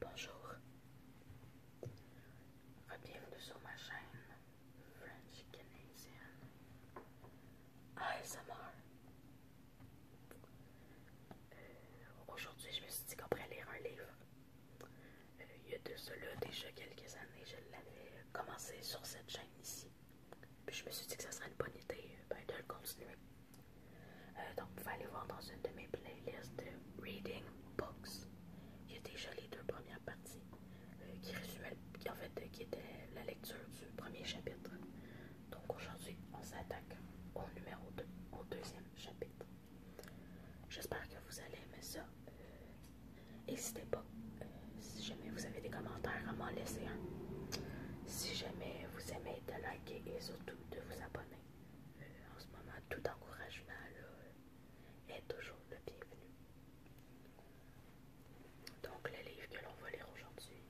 Bonjour, bienvenue sur ma chaîne French Canadian ASMR. Euh, aujourd'hui, je me suis dit qu'après lire un livre. Euh, il y a de cela déjà quelques années, je l'avais commencé sur cette chaîne ici. Puis je me suis dit que ça serait une bonne idée ben, de le continuer. Euh, donc, vous pouvez aller voir dans une de mes playlists de Reading Books. Il y a déjà les deux premières parties euh, qui résumaient, en fait, euh, qui était la lecture du premier chapitre. Donc, aujourd'hui, on s'attaque au numéro 2, au deuxième chapitre. J'espère que vous allez aimer ça. N'hésitez pas, si jamais vous avez des commentaires, à m'en laisser un. Si jamais vous aimez, de liker et surtout de vous abonner. Euh, en ce moment, tout encouragement est toujours le bienvenu. Donc, le livre que l'on va lire aujourd'hui,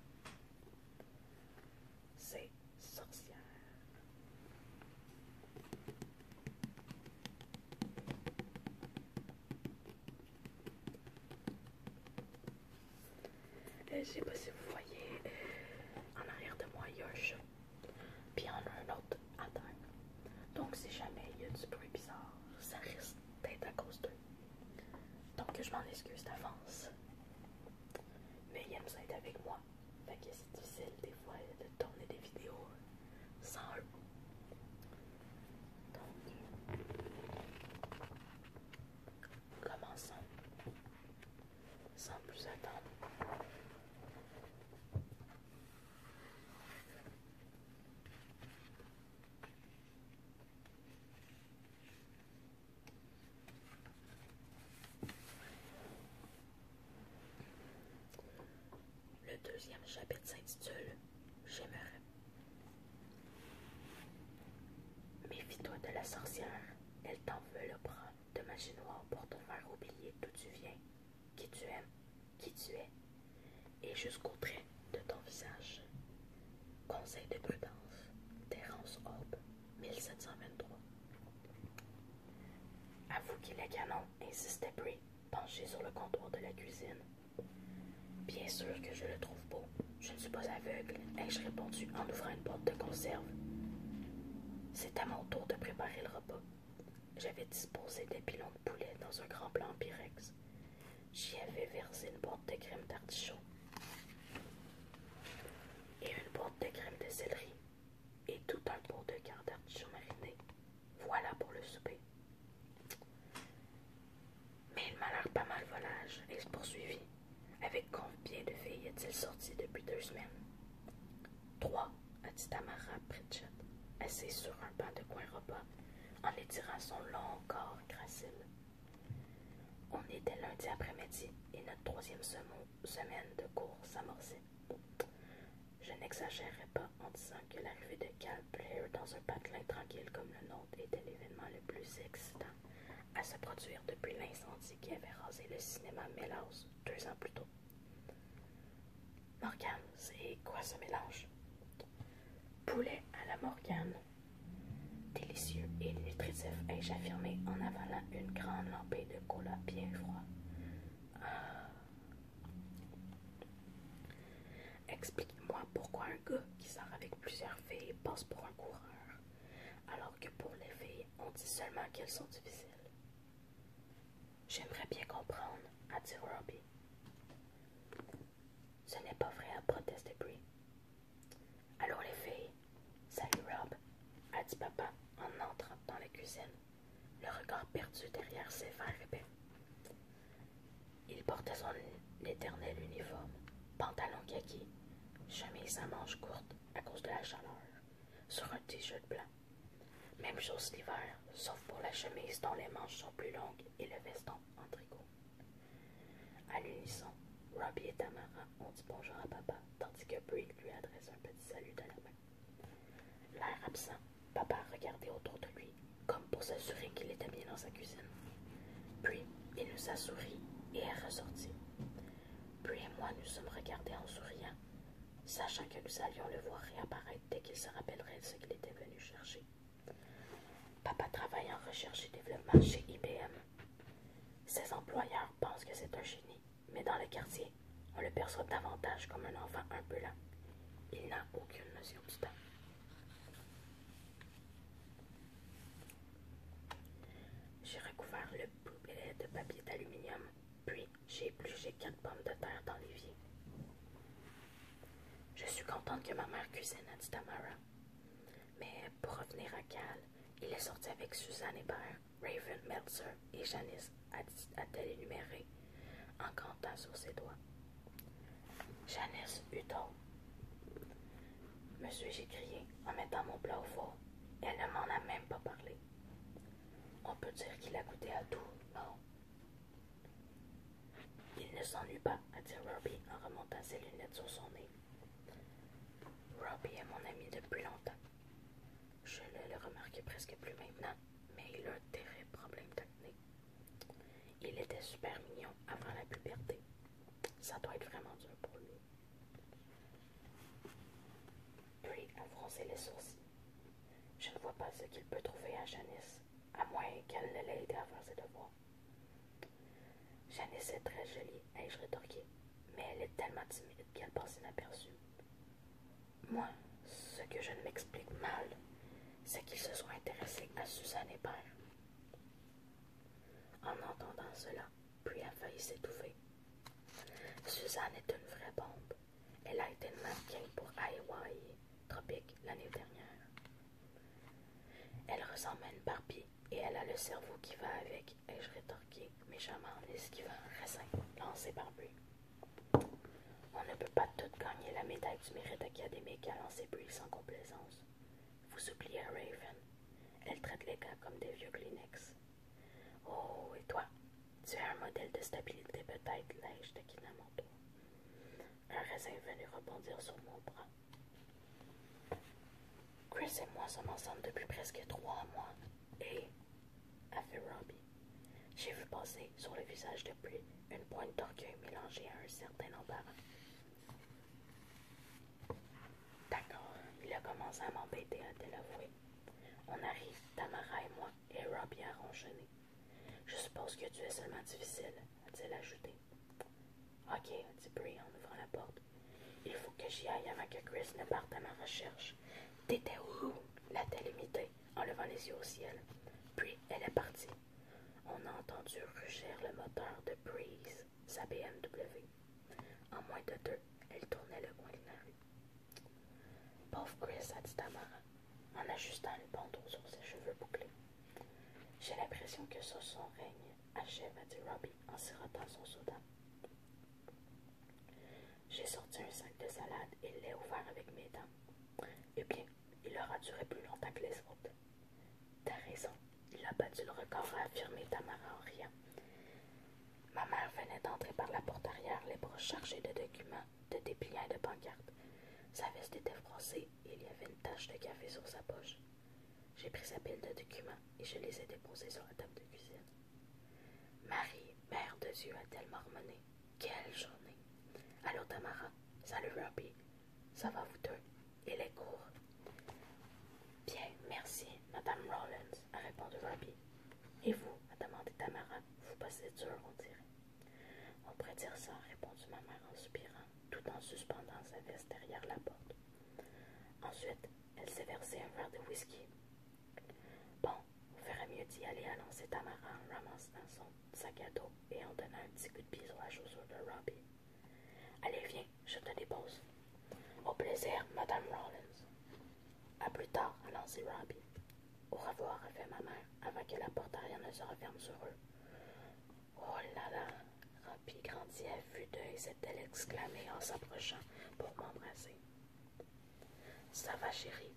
c'est Sorcière. Euh, je sais pas si vous voyez, euh, en arrière de moi, il y a un chat. Puis en a un autre à terre. Donc, si jamais il y a du bruit bizarre, ça risque d'être à cause d'eux. Donc, je m'en excuse d'avance. Mais il est ça avec moi. Fait que c'est difficile des fois de tourner des vidéos euh, sans eux. Donc, Commençons. Sans plus attendre. Le deuxième chapitre s'intitule J'aimerais. Méfie-toi de la sorcière, elle t'en veut le prendre de magie noire pour te faire oublier d'où tu viens, qui tu aimes, qui tu es, et jusqu'au trait de ton visage. Conseil de prudence, Terence Hope, 1723. Avoue qu'il est canon, insistait Brie, penché sur le comptoir de la cuisine. Bien sûr que je le trouve beau. Je ne suis pas aveugle, ai-je répondu en ouvrant une porte de conserve. C'est à mon tour de préparer le repas. J'avais disposé des pilons de poulet dans un grand plat en pyrex. J'y avais versé une boîte de crème d'artichaut et une boîte de crème de céleri et tout un pot de quart d'artichaut mariné. Voilà pour le souper. Mais il m'a l'air pas mal volage et se poursuivit. Avec combien de filles est-il sorti depuis deux semaines Trois, a dit Tamara Pritchett, assise sur un banc de coin repas, en étirant son long corps gracile. On était lundi après-midi et notre troisième semaine de cours s'amorçait. Je n'exagérerai pas en disant que l'arrivée de Cal Player dans un patelin tranquille comme le nôtre était l'événement le plus excitant à se produire depuis l'incendie qui avait rasé le cinéma mélos deux ans plus tôt. Morgane, c'est quoi ce mélange Poulet à la Morgane. Délicieux et nutritif, ai-je affirmé en avalant une grande lampée de cola bien froid. Ah. Explique-moi pourquoi un gars qui sort avec plusieurs filles passe pour un coureur, alors que pour les filles, on dit seulement qu'elles sont difficiles. J'aimerais bien comprendre, a dit Robbie. Ce n'est pas vrai, proteste Brie. Alors les filles, salut Rob, a dit papa en entrant dans la cuisine, le regard perdu derrière ses fers épais. Il portait son éternel uniforme, pantalon kaki, chemise à manches courtes à cause de la chaleur sur un t-shirt blanc. Même chose l'hiver, sauf pour la chemise dont les manches sont plus longues et le veston en tricot. À l'unisson, Robbie et Tamara ont dit bonjour à papa, tandis que Brick lui adresse un petit salut de la main. L'air absent, papa regardait autour de lui, comme pour s'assurer qu'il était bien dans sa cuisine. Puis, il nous a souri et est ressorti. Puis et moi nous sommes regardés en souriant sachant que nous allions le voir réapparaître dès qu'il se rappellerait ce qu'il était venu chercher. Papa travaille en recherche et développement chez IBM. Ses employeurs pensent que c'est un génie, mais dans le quartier, on le perçoit davantage comme un enfant lent. Il n'a aucune notion du temps. J'ai recouvert le boulet de papier d'aluminium puis j'ai épluché quatre pommes de terre dans l'évier. Je suis contente que ma mère cuisine, a dit Tamara. Mais pour revenir à Cal, il est sorti avec Suzanne Hébert, Raven Meltzer et Janice, a-t-elle énuméré, en comptant sur ses doigts. Janice me Monsieur, j'ai crié en mettant mon plat au four. Elle ne m'en a même pas parlé. On peut dire qu'il a goûté à tout, non Il ne s'ennuie pas, a dit Robbie en remontant ses lunettes sur son nez. Robbie est mon ami depuis longtemps. Je ne le remarque presque plus maintenant, mais il a un terrible problème Il était super mignon avant la puberté. Ça doit être vraiment dur pour lui. Puis en les sourcils. Je ne vois pas ce qu'il peut trouver à Janice, à moins qu'elle ne l'ait aidé à faire ses devoirs. Janice est très jolie, ai-je rétorqué, mais elle est tellement timide qu'elle passe inaperçue. Moi, ce que je ne m'explique mal, c'est qu'il se soit intéressé à Suzanne père. En entendant cela, puis a failli s'étouffer. Suzanne est une vraie bombe. Elle a été mannequin pour Hawaii Tropique l'année dernière. Elle ressemble à une Barbie et elle a le cerveau qui va avec, ai-je rétorqué méchamment ce qui va, récemment, lancé par On ne peut pas toutes gagner la médaille du mérite académique à lancer Barbie sans complaisance. Vous oubliez Raven. Elle traite les gars comme des vieux Kleenex. Oh, et toi Tu es un modèle de stabilité, peut-être neige de Kinamoto. » Un raisin venu rebondir sur mon bras. Chris et moi sommes ensemble depuis presque trois mois. Et, a fait Robbie, j'ai vu passer sur le visage de lui une pointe d'orgueil mélangée à un certain embarras. D'accord, il a commencé à m'embêter, à t elle on arrive, Tamara et moi, et Rob y a Je suppose que tu es seulement difficile, a t elle ajouté. Ok, dit Brie en ouvrant la porte. Il faut que j'y aille avant que Chris ne parte à ma recherche. T'étais où l'a-t-elle en levant les yeux au ciel. Puis elle est partie. On a entendu rugir le moteur de Breeze, sa BMW. En moins de deux, elle tournait le coin Pauvre Chris, a dit Tamara, en ajustant le bandeau sur ses cheveux bouclés. J'ai l'impression que ce son règne achève, a dit Robbie en sirotant son soda. J'ai sorti un sac de salade et l'ai ouvert avec mes dents. Eh bien, il aura duré plus longtemps que les autres. T'as raison, il a battu le record, a affirmé Tamara en riant. Ma mère venait d'entrer par la porte arrière, les bras chargés de documents, de dépliants et de pancartes. Sa veste était froissée et il y avait une tache de café sur sa poche. J'ai pris sa pile de documents et je les ai déposés sur la table de cuisine. Marie, mère de Dieu, a-t-elle Quelle journée Allô, Tamara Salut, Robbie Ça va, vous deux Il est court. Bien, merci, madame Rawlins, a répondu Robbie. Et vous, a demandé Tamara, vous passez dur, on dirait. On pourrait dire ça, répondit ma mère en soupirant, tout en suspendant sa veste derrière la porte. Ensuite, elle s'est versée un verre de whisky. Bon, vous ferait mieux d'y aller, annonça Tamara en ramassant son sac à et en donnant un petit coup de pied à la chaussure de Robbie. Allez, viens, je te dépose. Au plaisir, madame Rawlins. À plus tard, annonçait Robbie. Au revoir, fait ma mère, avant que la porte arrière ne se referme sur eux. Oh là là! Robbie grandit à vue s'est-elle exclamée en s'approchant pour m'embrasser. Ça va, chérie?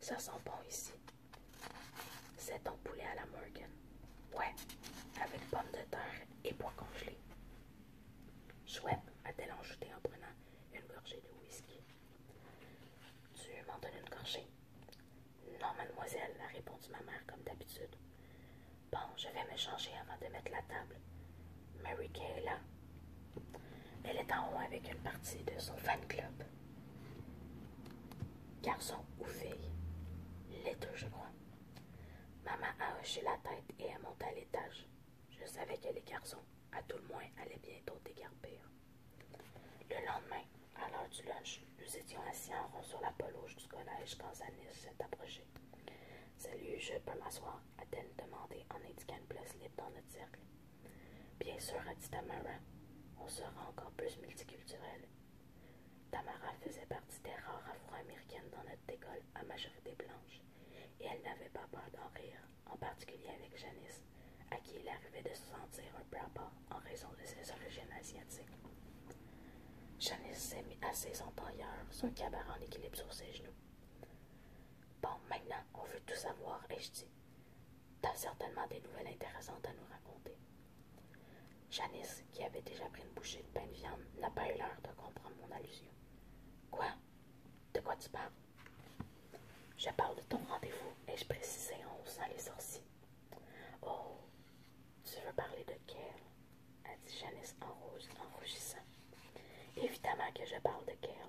Ça sent bon ici. C'est ton poulet à la Morgan. Ouais, avec pommes de terre et pois congelé. Chouette, a-t-elle enjouté en prenant une gorgée de whisky. Tu m'en donnes une gorgée Non, mademoiselle, a répondu ma mère comme d'habitude. Bon, je vais me changer avant de mettre la table. Mary Kay est là. Elle est en haut avec une partie de son fan club. Garçon ou fille Les deux, je crois. Maman a hoché la tête et est montée à l'étage. Je savais que les garçons, à tout le moins, allaient bientôt dégarpir. Le lendemain, à l'heure du lunch, nous étions assis en rond sur la pelouse du collège quand Zanis s'est approché. Salut, je peux m'asseoir a-t-elle demandé en indiquant une place libre dans notre cercle. Bien sûr, a dit Tamara. On sera encore plus multiculturel. Tamara faisait partie des rares afro-américaines dans notre école à majorité blanche, et elle n'avait pas peur d'en rire en particulier avec Janice, à qui il arrivait de se sentir un peu en raison de ses origines asiatiques. Janice s'est mis assez ses tailleur, son cabaret en équilibre sur ses genoux. Bon, maintenant, on veut tout savoir, et je dit. T'as certainement des nouvelles intéressantes à nous raconter. Janice, qui avait déjà pris une bouchée de pain de viande, n'a pas eu l'heure de comprendre mon allusion. Quoi De quoi tu parles je parle de ton rendez-vous, ai-je précisé en hein, haussant les sourcils. Oh, tu veux parler de Kerl a dit Janice en, rouge, en rougissant. Évidemment que je parle de Kerl.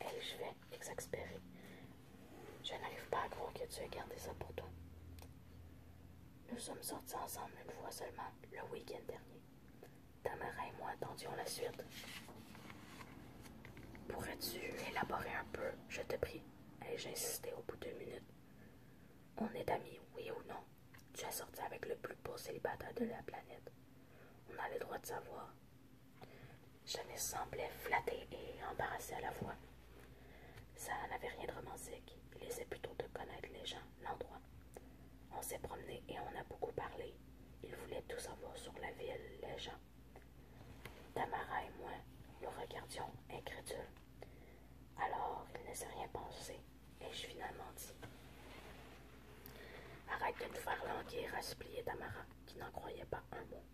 Et je vais exaspérer. Je n'arrive pas à croire que tu aies gardé ça pour toi. Nous sommes sortis ensemble une fois seulement, le week-end dernier. Tamara et moi attendions la suite. Pourrais-tu élaborer un peu, je te prie? ai-je au bout de deux minutes. On est amis, oui ou non? Tu as sorti avec le plus beau célibataire de la planète. On a le droit de savoir. Je ne semblais flattée et embarrassée à la fois. Ça n'avait rien de romantique. Il essaie plutôt de connaître les gens, l'endroit. On s'est promené et on a beaucoup parlé. Il voulait tout savoir sur la ville, les gens. Tamara et moi nous regardions incrédule. Alors, il ne s'est rien pensé, et je finalement dit Arrête de nous faire languir, a supplié Tamara, qui n'en croyait pas un mot.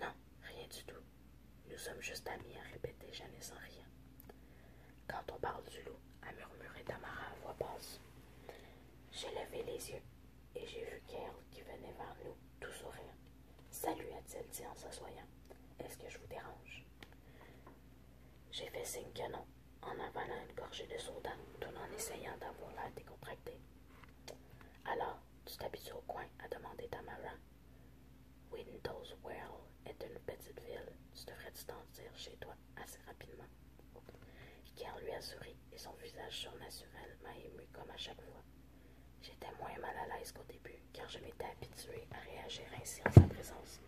Non, rien du tout. Nous sommes juste amis, a répété Jeanne sans rien. Quand on parle du loup, a murmuré Tamara à voix basse. J'ai levé les yeux et j'ai vu Carl qui venait vers nous, tout souriant. Salut, a-t-il dit en s'assoyant. Est-ce que je vous dérange J'ai fait signe que non, en avalant une gorgée de soda, tout en essayant d'avoir la décontracté. Alors, tu t'habitues au coin a demandé Tamara. Windows Well est une petite ville. Tu devrais t'en chez toi assez rapidement. Car lui a souri et son visage surnaturel m'a ému comme à chaque fois. J'étais moins mal à l'aise qu'au début car je m'étais habituée à réagir ainsi en sa présence.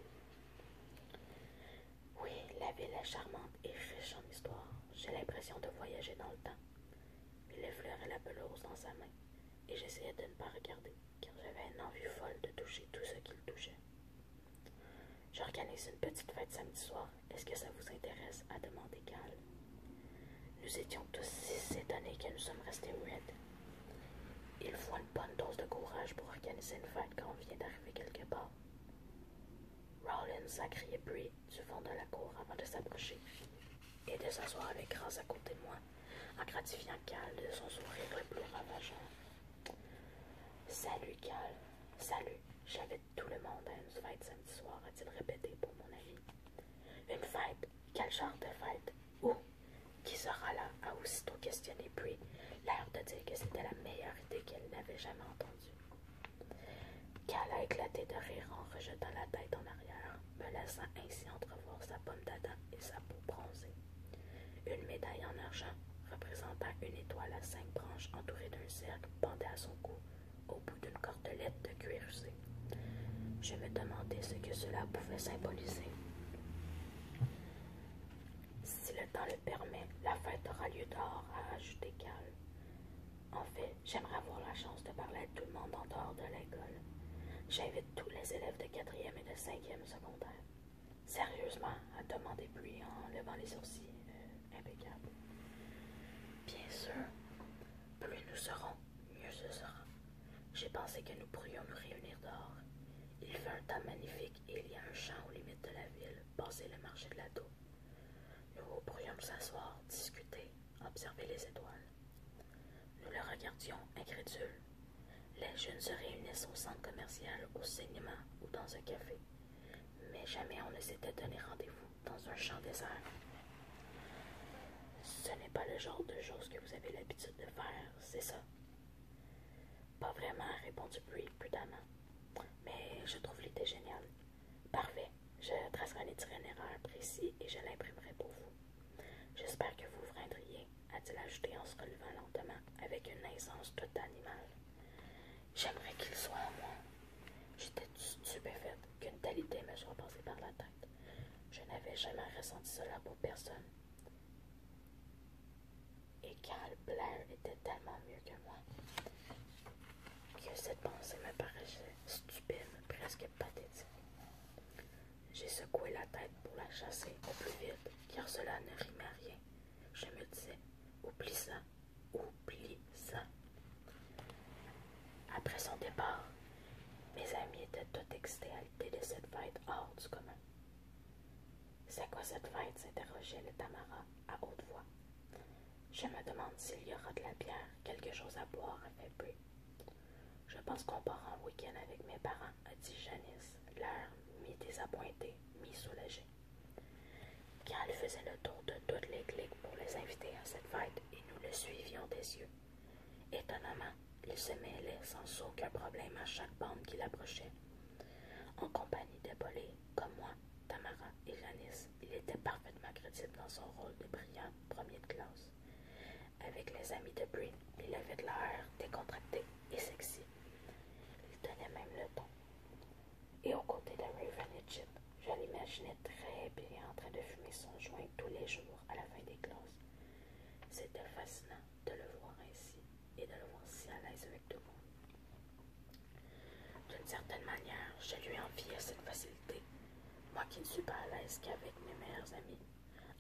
Oui, la ville est charmante et riche en histoire. J'ai l'impression de voyager dans le temps. Il effleurait la pelouse dans sa main et j'essayais de ne pas regarder car j'avais une envie folle de toucher tout ce qu'il touchait. J'organise une petite fête samedi soir. Est-ce que ça vous intéresse a demandé Cal Nous étions tous si étonnés que nous sommes restés muettes. Il faut une bonne dose de courage pour organiser une fête quand on vient d'arriver quelque part. Rollins a crié Brie du fond de la cour avant de s'approcher et de s'asseoir avec grâce à côté de moi, en gratifiant Cal de son sourire le plus ravageant. Salut Cal, salut, j'avais tout le monde a une fête samedi soir, a-t-il répété pour mon avis. Une fête Quel genre de fête Où Qui sera là a aussitôt questionné puis l'air de dire que c'était la meilleure idée qu'elle n'avait jamais entendue. Cal a éclaté de rire en rejetant la tête en arrière, me laissant ainsi entrevoir sa pomme d'Adam et sa peau bronzée. Une médaille en argent représentant une étoile à cinq branches entourée d'un cercle bandé à son cou au bout d'une cordelette de cuir Je me demandais ce que cela pouvait symboliser. Si le temps le permet, la fête aura lieu dehors, a ajouté Cal. En fait, j'aimerais avoir la chance de parler à tout le monde en dehors de l'école. J'invite tous les élèves de quatrième et de cinquième secondaire. Sérieusement, a demandé puis en levant les sourcils. Euh, impeccable. Bien sûr, plus nous serons, mieux ce sera. J'ai pensé que nous pourrions nous réunir dehors. Il fait un temps magnifique et il y a un champ aux limites de la ville, passé le marché de la Nous pourrions nous asseoir, discuter, observer les étoiles. Nous le regardions, incrédules. Les jeunes se réunissent au centre commercial, au cinéma ou dans un café. Mais jamais on ne s'était donné rendez-vous dans un champ désert. Ce n'est pas le genre de choses que vous avez l'habitude de faire, c'est ça? Pas vraiment, répondit Bree prudemment. Mais je trouve l'idée géniale. Parfait. Je tracerai un itinéraires précis et je l'imprimerai pour vous. J'espère que vous vous a-t-il ajouté en se relevant lentement, avec une aisance toute animale. J'aimerais qu'il soit à moi. J'étais stupéfaite qu'une telle idée me soit passée par la tête. Je n'avais jamais ressenti cela pour personne. Et Carl Blair était tellement mieux que moi que cette pensée me paraissait stupide, presque pathétique. J'ai secoué la tête pour la chasser au plus vite, car cela ne rimait à rien. Je me disais, oublie ça, Oublie ça. Après son départ, mes amis étaient tout excités à l'idée de cette fête hors du commun. C'est quoi cette fête s'interrogeait le Tamara à haute voix. Je me demande s'il y aura de la bière, quelque chose à boire, un peu. Je pense qu'on part en week-end avec mes parents, a dit Janice, l'air mi-désappointé, mi-soulagé. Carl faisait le tour de toutes les cliques pour les inviter à cette fête et nous le suivions des yeux. Étonnamment, il se mêlait sans aucun problème à chaque bande qui l'approchait. En compagnie de comme moi, Tamara et Janice, il était parfaitement crédible dans son rôle de brillant premier de classe. Avec les amis de Brie, il avait de l'air décontracté et sexy. Il tenait même le ton. Et aux côtés de Raven et Chip, je l'imaginais très bien en train de fumer son joint tous les jours à la fin des classes. C'était fascinant de le voir ainsi et de le voir si à l'aise avec tout le monde. D'une certaine manière, je lui enviais cette facilité, moi qui ne suis pas à l'aise qu'avec mes meilleurs amis.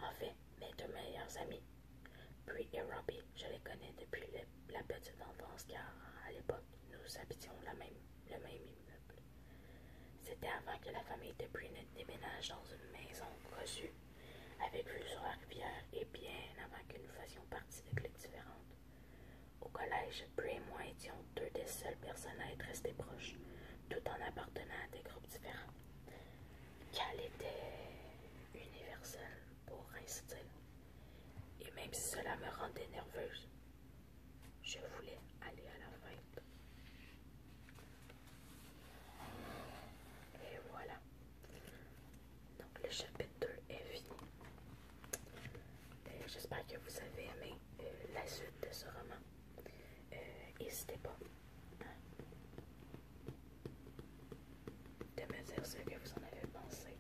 En fait, mes deux meilleurs amis, Bree et Robbie, je les connais depuis le la petite tendance, car à l'époque nous habitions la même, le même immeuble. C'était avant que la famille de Brunette déménage dans une maison cousue avec vue sur la rivière et bien avant que nous fassions partie de cliques différentes. Au collège, Brie et moi étions deux des seules personnes à être restées proches, tout en appartenant à des groupes différents. Cal était universel, pour ainsi et même si cela me rendait nerveuse, je voulais aller à la fête. Et voilà. Donc le chapitre 2 est fini. Euh, j'espère que vous avez aimé euh, la suite de ce roman. Euh, n'hésitez pas à hein, de me dire ce que vous en avez pensé.